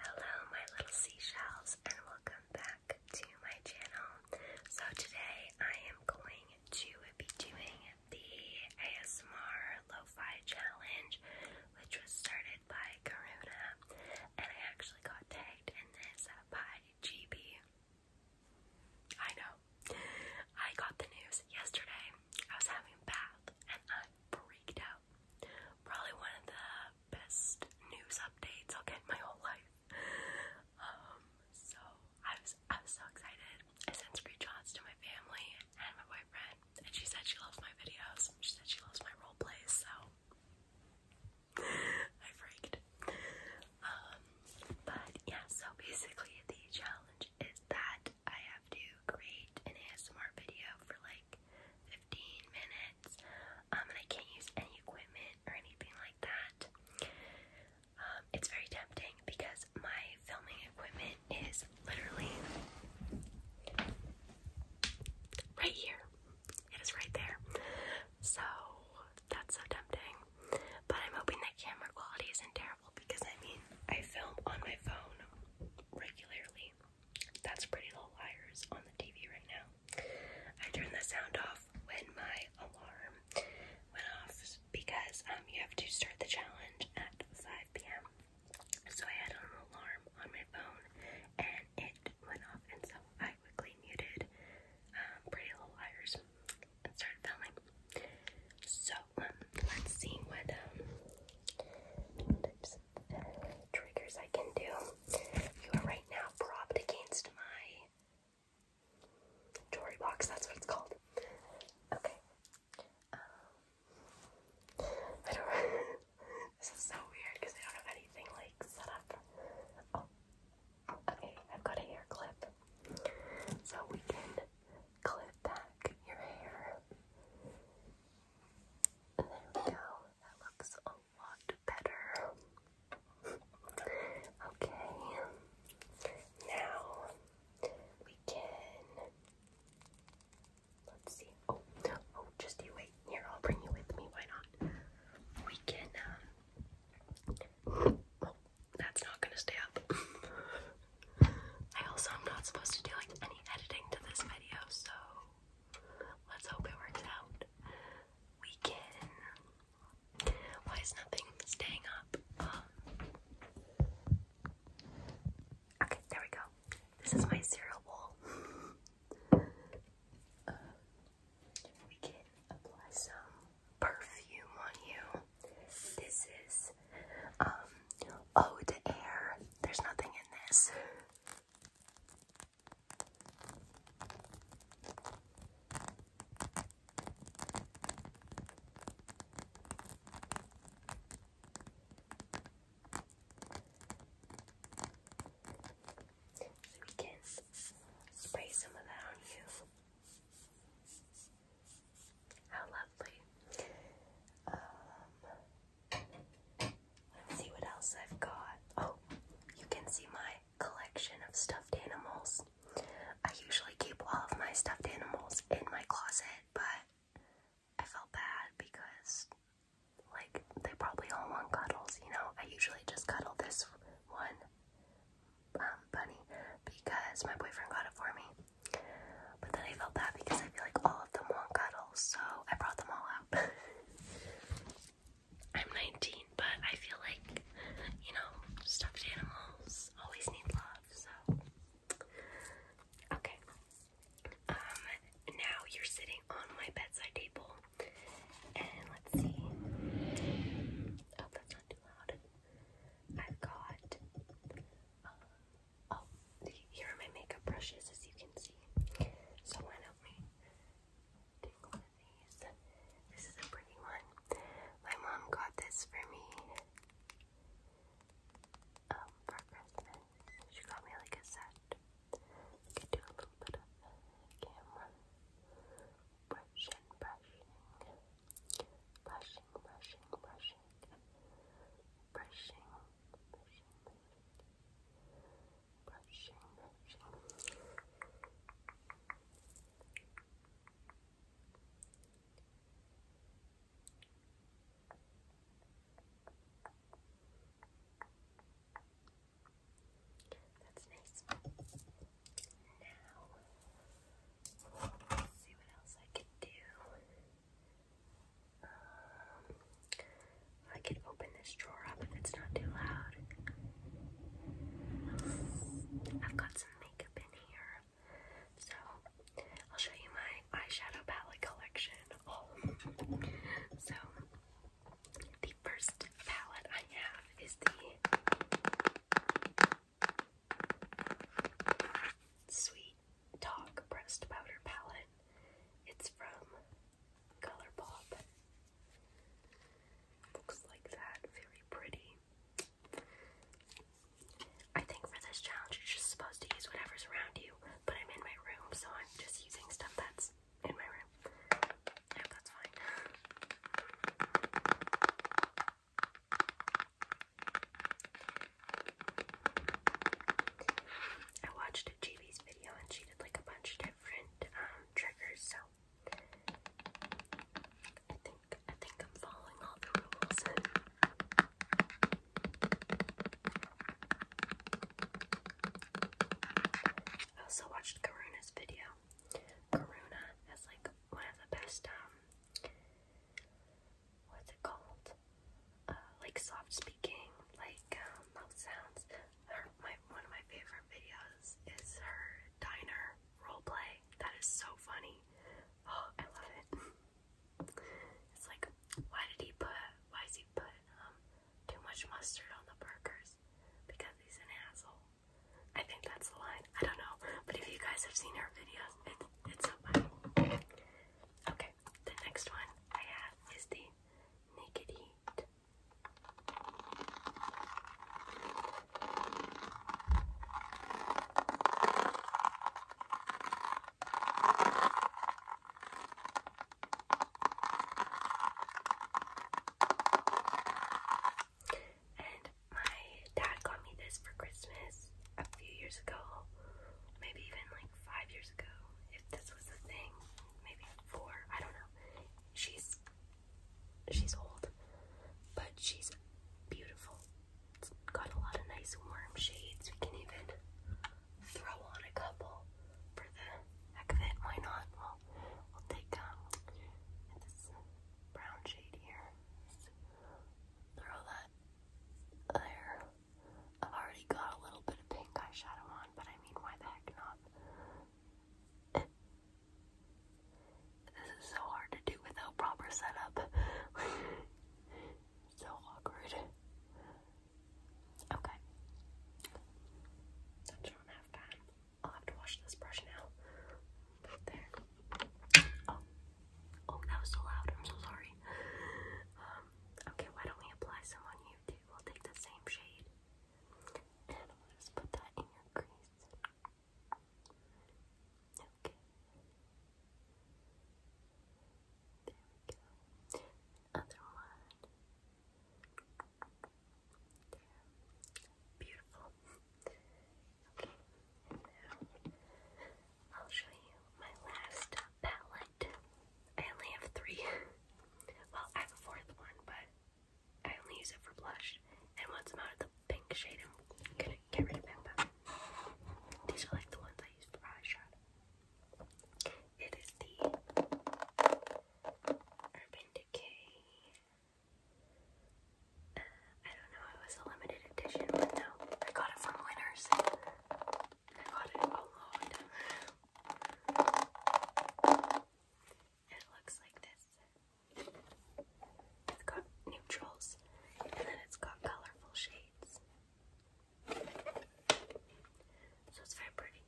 Hello, my little seashells, and welcome back to my channel. So, today I am going to be doing the ASMR Lo Fi Challenge, which was started by Karuna, and I actually got tagged in this by GB. I know. I got the news yesterday. I was having a bath, and I I freaked out. Probably one of the best news updates I'll get my whole life. Um, so I was I was so excited. I sent screenshots to my family and my boyfriend, and she said she loves my videos. She said she loves my role plays, so I freaked. Um, but yeah, so basically the challenge is that I have to create an ASMR video for like 15 minutes. Um, I can't use any equipment or anything like that. Um, it's very tempting because my filming equipment is literally right here. It is right there. So that's so tempting. But I'm hoping that camera quality isn't terrible because I mean, I film on my phone regularly. That's Pretty Little Liars on the TV right now. I turned the sound off when my alarm went off because um, you have to start the challenge at 5 p.m. So I had an alarm on my phone and it went off, and so I quickly muted um, Pretty Little Liars and started filming. So um, let's see what um, triggers I can do. You are right now propped against my jewelry box, that's what it's called. Okay. Um, I don't This is so weird because I don't have anything like set oh, okay, I've got a hair clip. So we can clip back your hair there we go. That looks a lot better. Okay. Now we can. Let's see. Oh, oh, just you wait. Here, I'll bring you with me. Why not? We can. Um, oh, that's not gonna stay up. I also am not supposed to do like any editing to this video, so let's hope it works out. We can. Why is nothing staying up? Um, okay, there we go. This is my cereal bowl. Uh, we can apply some perfume on you. This is um, Oh, to air. There's nothing in this. So we can spray some of that on you. How lovely. Um, Let's see what else I've got. Oh, you can see my collection of stuffed animals. I usually keep all of my stuffed animals in my closet, but I felt bad because, like, they probably all want cuddles, you know? I usually just cuddle this one um, bunny because my boyfriend got it for me. But then I felt bad because I feel like all of them want cuddles, so I brought them all out. I'm 19, but I feel like, you know, stuffed animals always need love, so. Okay. Um, now you're sitting on my bedside table. And let's see. Oh, that's not too loud. I've got um, Oh, here are my makeup brushes, as you can see. So why don't one of these? This is a pretty one. My mom got this for me um, for Christmas. She got me like a set. I do a little bit of camera brushing, brushing, brushing brushing, brushing, brushing, brushing, brushing, brushing, That's nice. Now, see what else I can do. Um, I can open this drawer up if it's not too loud. I've got some makeup in here. So I'll show you my eyeshadow palette collection. So the first palette I have is the Sweet Talk Pressed Powder Palette. It's from Color Pop. Looks like that. Very pretty. I think for this challenge, you're just supposed to use whatever's around you, but I'm in my room, so I'm just using stuff that's in my room. I that's fine. I watched a video and she did like a bunch of different um, triggers, so I think I think I'm following all the rules. I also watched Karuna's video. Karuna is like one of the best um, what's it called? Uh, like soft speaking, like um, mouth sounds. Her, my, one of my favorite videos is her diner role play. That is so funny. Oh, I love it. it's like, why did he put, why is he put um, too much mustard on the burgers? Because he's an asshole. I think that's the line. I don't know. But if you guys have seen her videos, it's so Okay, the next one I have is the Naked Heat. And my dad got me this for Christmas a few years ago, maybe even like five years ago, if this was a thing, maybe four, I don't know. She's she's old, but she's beautiful. It's got a lot of nice warm shades. We can even throw on a couple for the heck Why not? we'll take um, this brown shade here. Throw that there. I've already got a little bit of pink eyeshadow on, but I mean, why the heck not? this is so hard to do without proper setup. so awkward. Okay. I don't have time. I'll have to wash this brush now. There. Oh. Oh, that was so loud. I'm so sorry. Um, okay, why don't we apply some on you too? We'll take the same shade. And we'll just put that in your crease. Okay. There we go. Other one. There. Beautiful. I'll show you my last palette. I only have three. Well, I have a fourth one, but I only use it for blush. And once I'm out of the pink shade, I'm gonna get rid of Pampa. These are like the ones I use for eyeshadow. It is the Urban Decay I don't know, it was a limited edition one though. I got it from Winners. I got it a lot. It looks like this. It's got neutrals and then it's got colorful shades. So it's very pretty.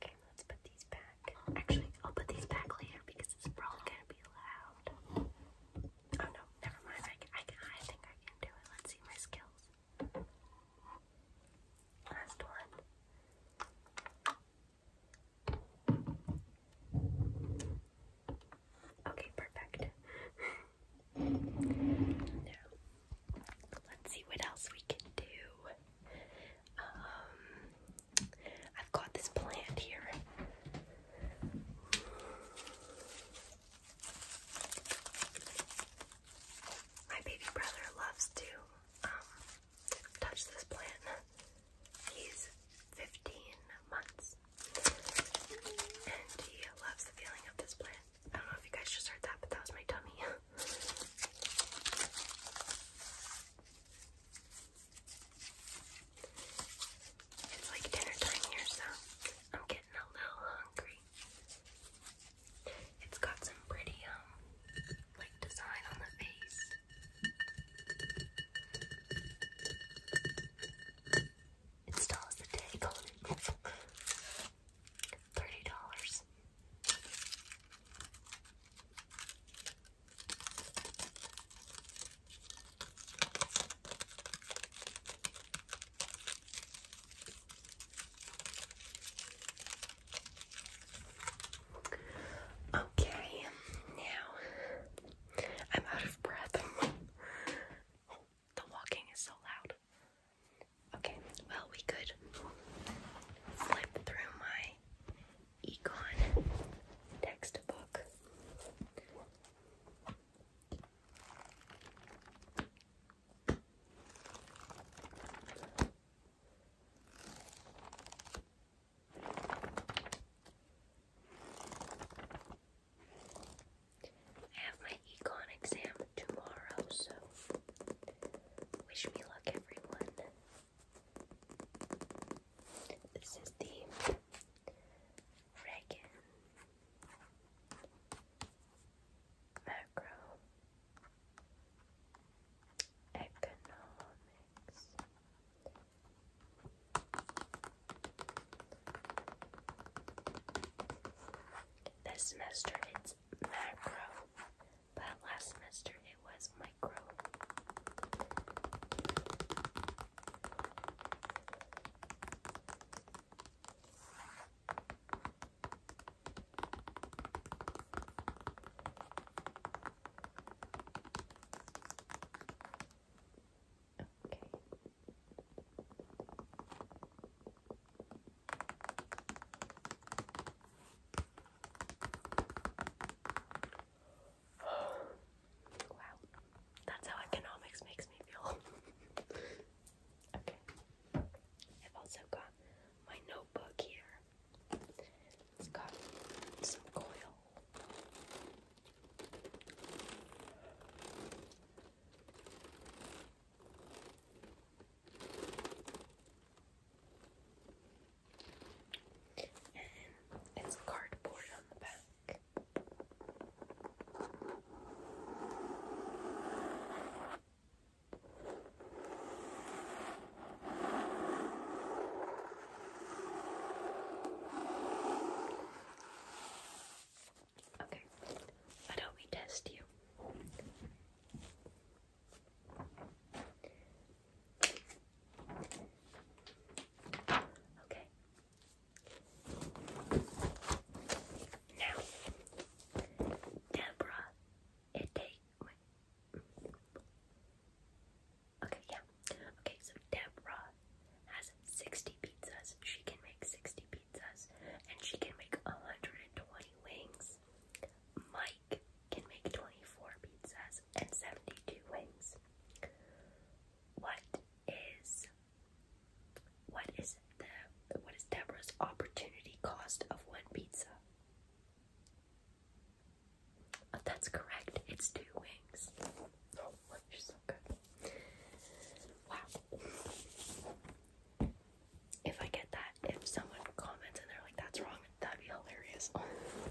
Okay, let's put these back. Actually, I'll put these back later because it's probably gonna be loud. Oh no, never mind. I, I, I think I can do it. Let's see my skills. Last one. Okay, perfect. now, let's see what else we can do. Um, I've got this plant here. My baby brother loves to um, touch this plant. He's 15 months and he loves the feeling of this plant. I don't know if you guys just heard that, but that was my tummy. It's like dinner time here, so I'm getting a little hungry. It's got some pretty, um, like design on the face. It still has the tag on it. $30. Okay, now I'm out of breath. the walking is so loud. Okay, well, we could flip through my econ textbook. I have my econ exam tomorrow, so wish me luck, everyone. This is the Reagan Macro Economics this semester it's macro, but last semester it was micro. Okay. Wow, that's how economics makes me feel. okay, I've also got my notebook here. It's got some coil it's cardboard on the back. Okay, why don't we test you? Okay. Now, Deborah, it takes. Okay, yeah. Okay, so Deborah has 60 pizzas. She can make 60 pizzas, and she can make 120 wings. Mike can make 24 pizzas and 72 wings. What is what is the what is Deborah's opportunity cost of one pizza? Oh, that's correct. It's two wings. Oh, wow. If I get that, if someone comments and they're like, "That's wrong," that'd be hilarious.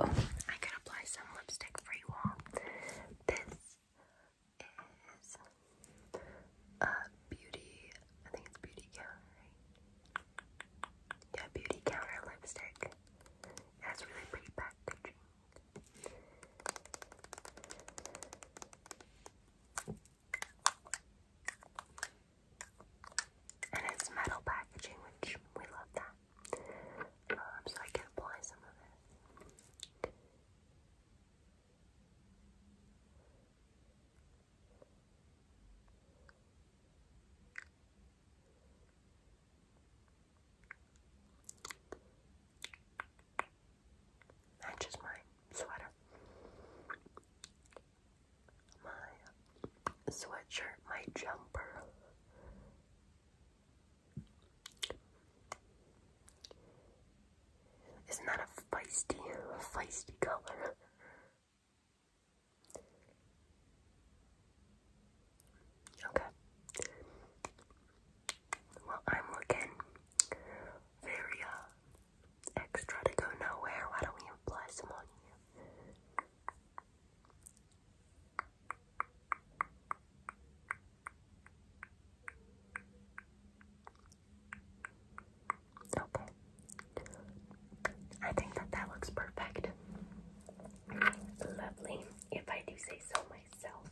oh, I could apply some lipstick for you all. This is a beauty, I think it's beauty counter, Yeah, beauty counter lipstick. That's really pretty packaging. And it's metal packaging, which we love that um, so I can apply some of it. Matches my sweater. My sweatshirt, my jumper. Isn't that a feisty, feisty color? Okay. Well, I'm looking very uh, extra to go nowhere. Why don't we apply some on you? Okay. I think that that looks perfect. Lovely, if I do say so myself.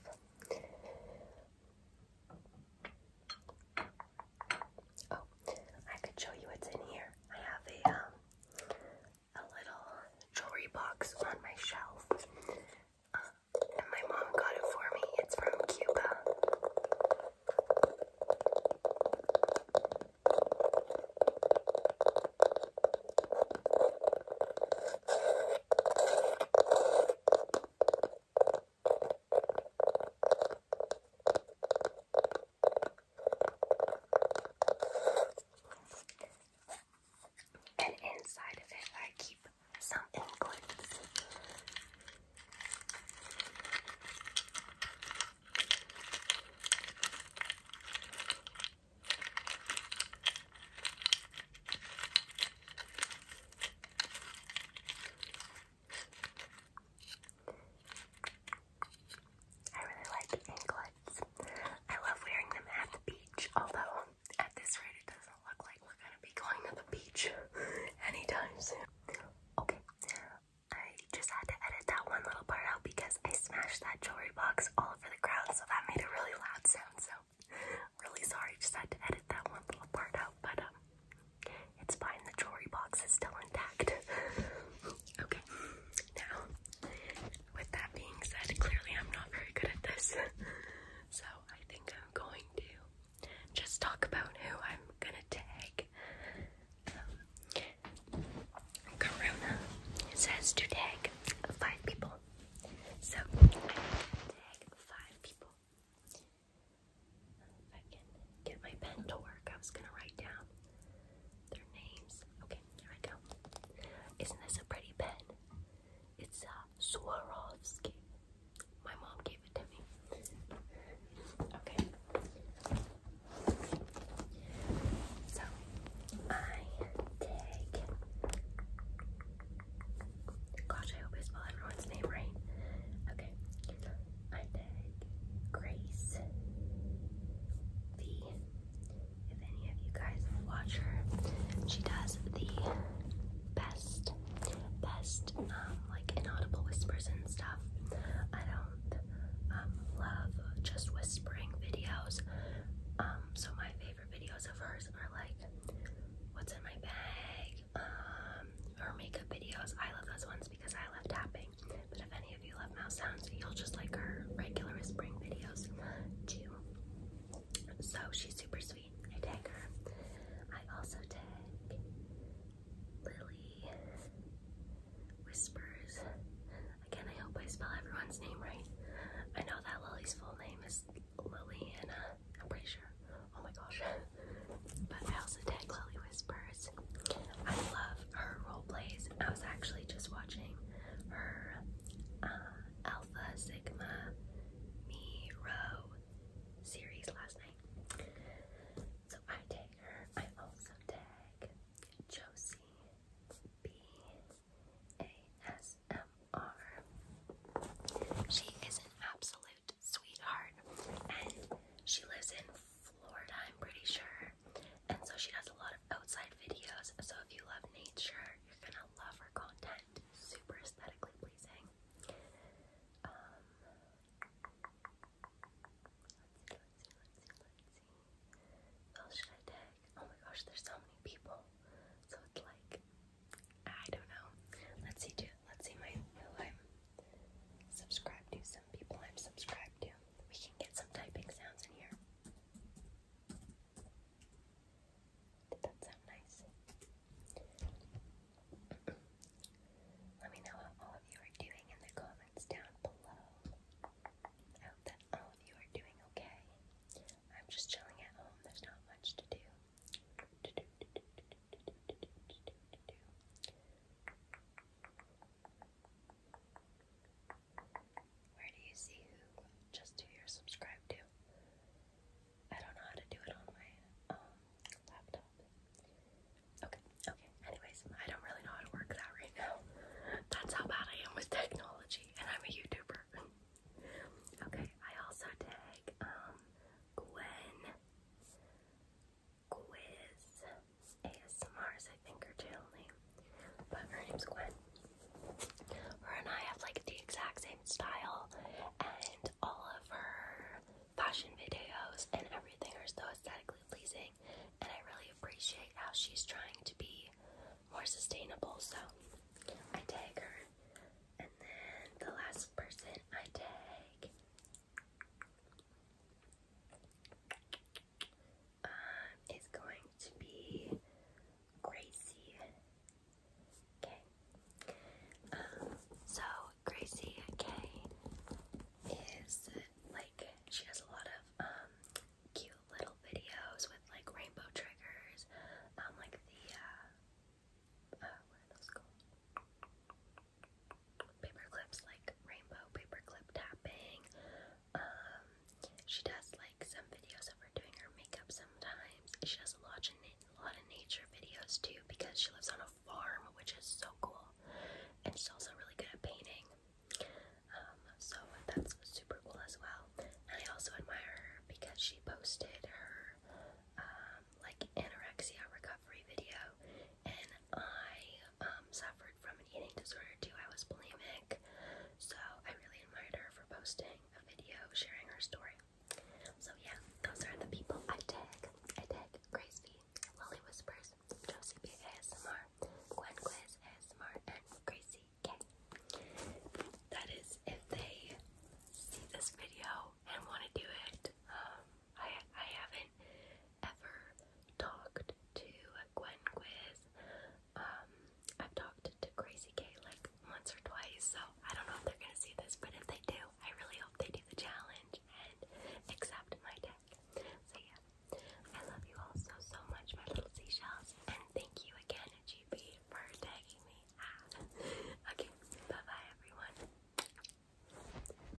Oh, I could show you what's in here. I have a um, a little jewelry box on my shelf. Uh, and my mom got it for me. It's from Cuba. And inside of it, I keep some inklings. I really like anklets. I love wearing them at the beach, although at this rate it doesn't look like we're gonna be going to the beach anytime soon. Okay, I just had to edit that one little part out because I smashed that jewelry box all over the ground, so that made a really loud sound. So, really sorry, just had to edit that one little part out, but um, it's fine. The jewelry box is still intact. Okay, now, with that being said, clearly I'm not very good at this, so I think I'm going to just talk about who I'm gonna tag. Um, Corona says to tag five people, so tag five people. If I can get my pen to work, I was gonna write down their names. Okay, here I go. Isn't this a pretty pen? It's a uh, Swarovski. My mom gave it to me. Okay. So I take. Gosh, I hope I spell everyone's name right. Okay. I take Grace. The if any of you guys watch her, she does the best, best, um, like inaudible whispers and stuff. I don't um, love just whispering videos. Um, so my favorite videos of hers are like what's in my bag, um, her makeup videos. I love those ones because I love tapping. But if any of you love mouse sounds, you'll just like her regular whispering videos too. So she's super sweet. I tag her. I also tag Lily Whispers. Again, I hope I spell everyone's name right. I know that Lily's full name is Lily, and I'm pretty sure. Oh my gosh. But I also tag Lily Whisper I love her role plays. I was actually just watching her uh, Alpha Sigma Me series last night. So I tag her. I also tag Josie B A S M R. She is an absolute sweetheart and she lives in Florida, I'm pretty sure. And so she does a lot of outside videos. So if you love nature, you're gonna love her content. Super aesthetically pleasing. Um, let's see, let's see, let's see, let's see. Who should I tag? Oh my gosh, there's so many people. So it's like, I don't know. Let's see, Let's see my subscribed to. Some people I'm subscribed to we can get some typing sounds in here. Did that sound nice? Let me know how all of you are doing in the comments down below. I hope that all of you are doing okay. I'm just chilling at home, there's not much to do. Where do you see who? Just who you're to. I don't know how to do it on my um, laptop. Okay, okay. Anyways, I don't really know how to work that right now. That's how bad I am with technology, and I'm a YouTuber. okay, I also tag um, Gwen. Quiz ASMR is I think her channel name, but her name's Gwen. Her and I have like the exact same style, and all of her fashion videos and everything are so aesthetically pleasing. And I really appreciate how she's trying to be more sustainable. So I tag her, and then the last person I tag um, is going to be Gracie. Okay. Um, so Gracie K is like she has a lot of um cute little videos with like rainbow triggers, um like the uh, uh, paper clips like rainbow paperclip tapping. Um, she does like some videos of her doing her makeup sometimes. She does a lot of lot of nature videos too because she lives on a farm, which is so cool. And she's also really good at painting. Um, so that's super cool as well. And I also admire her because she posted her um, like anorexia recovery video and I um, suffered from an eating disorder too. I was bulimic, so I really admired her for posting a video sharing her story. So yeah, those are the people I tag. I tag Grace V, Lily Whispers, Josie B ASMR, Gwen ASMR, and Gracie K. That is if they see this video and want to do it. Um, I I haven't ever talked to Gwen Quiz. Um, I've talked to Crazy K like once or twice, so I don't know if they're gonna see this, but if they do, I really hope they do the challenge and accept my deck. So yeah, I love you all so so much, my little seashells, and thank you again, GB, for tagging me. Ah. okay, bye bye everyone.